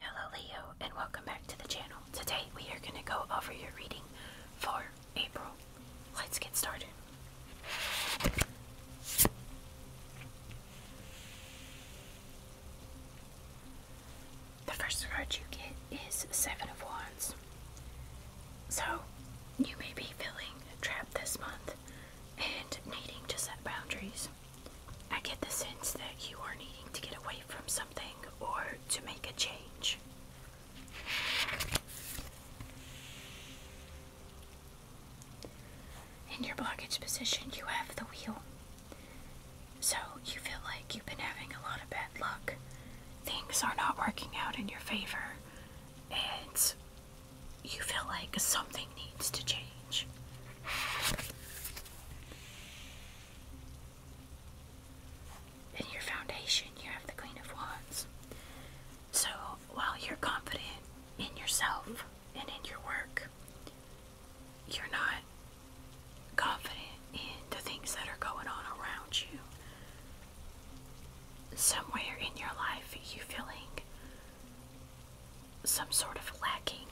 Hello Leo and welcome back to the channel. Today we are going to go over your reading for April. Let's get started the first card you get is Seven of Wands. So, you may be feeling trapped this month and needing to set boundaries. I get the sense that you are needing to get away from something or to make a change. In your blockage position, you have the wheel. So you feel like you've been having a lot of bad luck. Things are not working out in your favor, and you feel like something needs to change. In your foundation, you have the Queen of Wands. So while you're confident in yourself and in your work, you're not confident in the things that are going on around you. Somewhere in your life, you are feeling some sort of lacking.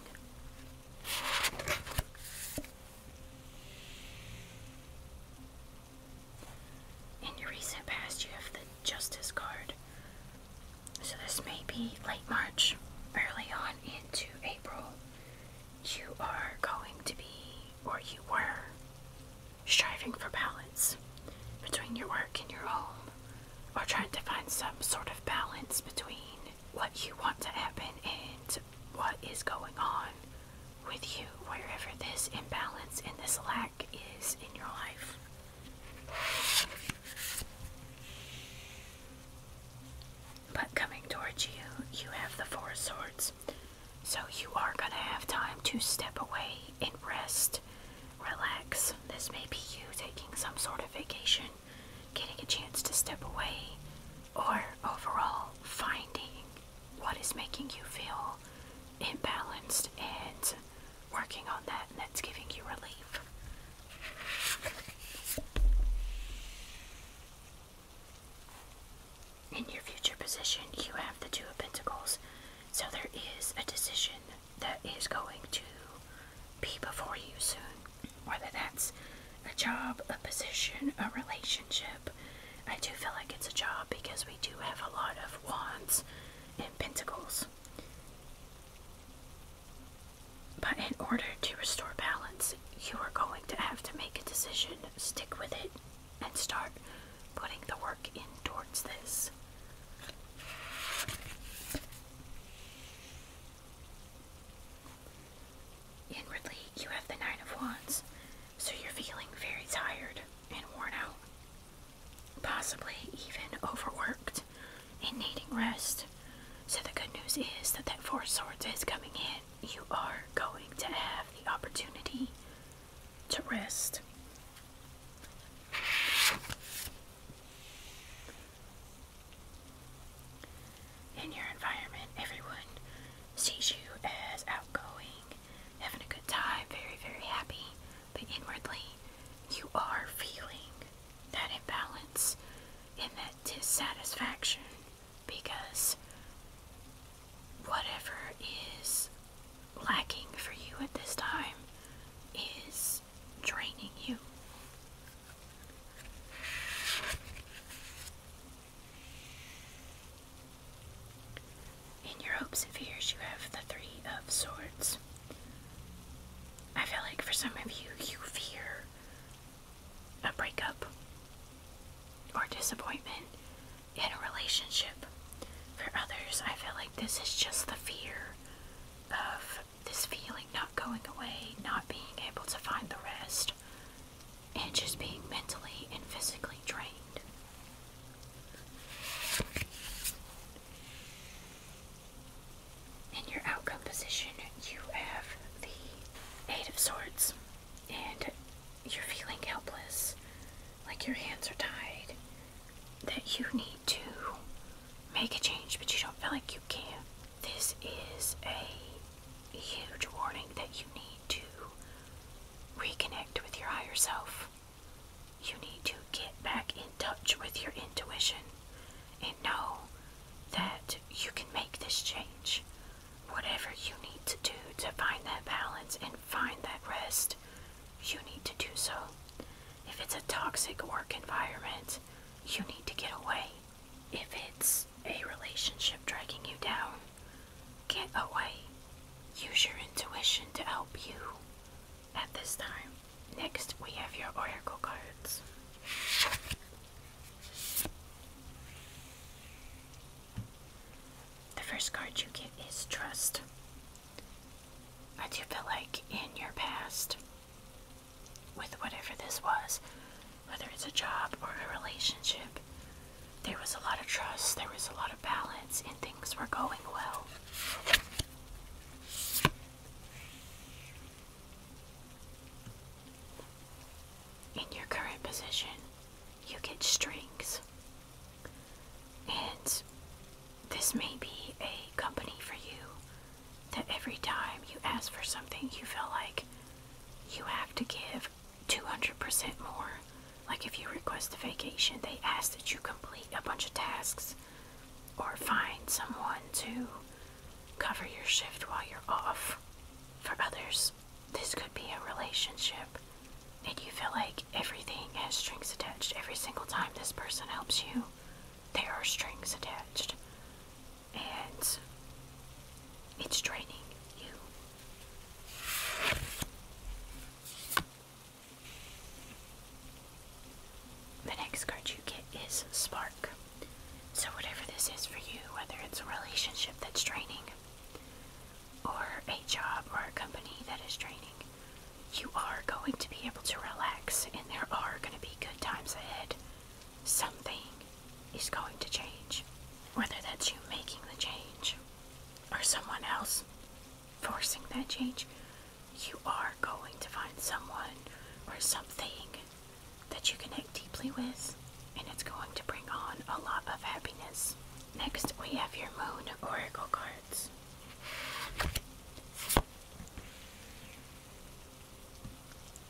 In your recent past, you have the Justice card. So, this may be late March, early on into April. You are going to be or you were striving for balance between your work and your home, or trying to find some sort of balance between what you want to happen and what is going on with you, wherever this imbalance and this lack is in your life. But coming towards you, you have the Four Swords, so you are going to have time to step away and rest, relax. This may be you taking some sort of vacation, getting a chance to step away, or overall finding what is making you feel imbalanced and working on that and that's giving you relief. In your future position, you have the Two of Pentacles, so there is a decision that is going to be before you soon. Whether that's a job, a position, a relationship, I do feel like it's a job because we do have a lot of wands and pentacles. But in order to restore balance, you are going to have to make a decision. Stick with it and start putting the work in towards this. Inwardly, you have the Nine of Wands, so you're feeling very tired and worn out, possibly even overworked and needing rest. So, the good news is that that Four Swords is coming in you are going to have the opportunity to rest. In your environment, everyone sees you as outgoing, having a good time, very, very happy, but inwardly, you are feeling that imbalance and that dissatisfaction because whatever is lacking for you at this time is draining you. In your hopes and fears, you have the Three of Swords. I feel like for some of you, you fear a breakup or disappointment in a relationship. For others, I feel like this is just the fear of this feeling not going away, not being able to find the rest, and just being mentally and physically drained. In your outcome position, you have the Eight of Swords and you're feeling helpless, like your hands are tied, that you need to make a change, but you don't feel like you can, this is a huge warning that you need to reconnect with your higher self. You need to get back in touch with your intuition and know that you can make this change. Whatever you need to do to find that balance and find that rest, you need to do so. If it's a toxic work environment, you need to get away. If it's a relationship dragging you down, get away. Use your intuition to help you at this time. Next, we have your oracle cards. The first card you get is Trust. I do feel like in your past, with whatever this was, whether it's a job or a relationship, there was a lot of trust, there was a lot of balance, and things were going well in your current position, you get strings. And this may be a company for you that every time you ask for something, you feel like you have to give 200% more. Like if you request a vacation, they ask that you complete a bunch of tasks or find someone to cover your shift while you're off for others this could be a relationship and you feel like everything has strings attached. Every single time this person helps you, there are strings attached. And it's draining you. The next card you get is Spark. So, whatever this is for you, whether it's a relationship that's draining, or a job or a company that is training, you are going to be able to relax and there are going to be good times ahead. Something is going to change, whether that's you making the change or someone else forcing that change. You are going to find someone or something that you connect deeply with, and it's going to bring on a lot of happiness. Next, we have your Moon Oracle cards.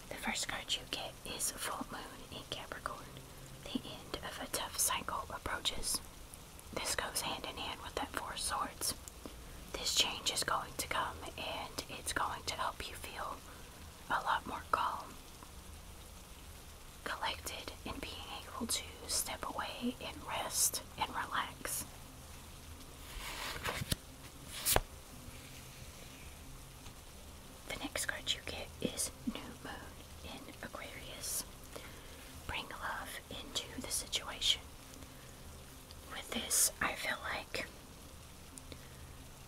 The first card you get is Full Moon in Capricorn. The end of a tough cycle approaches. This goes hand in hand with that Four Swords. This change is going to come and it's going to help you feel a lot more calm collected, and being able to step away and rest and relax. The next card you get is New Moon in Aquarius. Bring love into the situation. With this, I feel like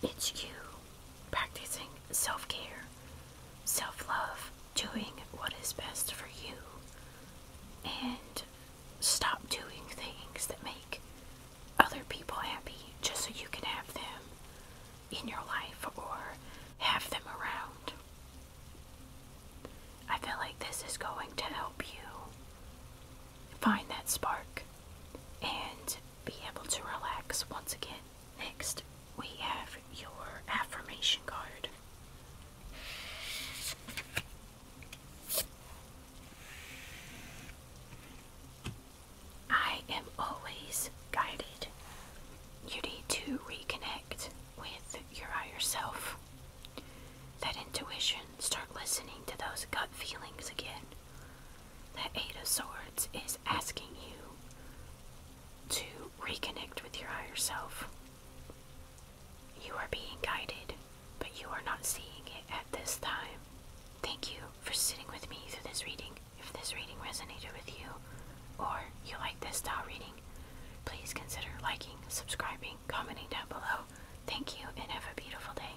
it's you practicing self care, self love, doing what is best for you and stop doing things that make other people happy just so you can have them in your life or have them around. I feel like this is going to help you find that spark and be able to relax once again. Next, we have your affirmation card. I am always guided. You need to reconnect with your higher self. That intuition, start listening to those gut feelings again. That Eight of Swords is asking you to reconnect with your higher self. You are being guided, but you are not seeing it at this time. Thank you for sitting with me through this reading. If this reading resonated with you, or you like this style reading, please consider liking, subscribing, commenting down below. Thank you and have a beautiful day.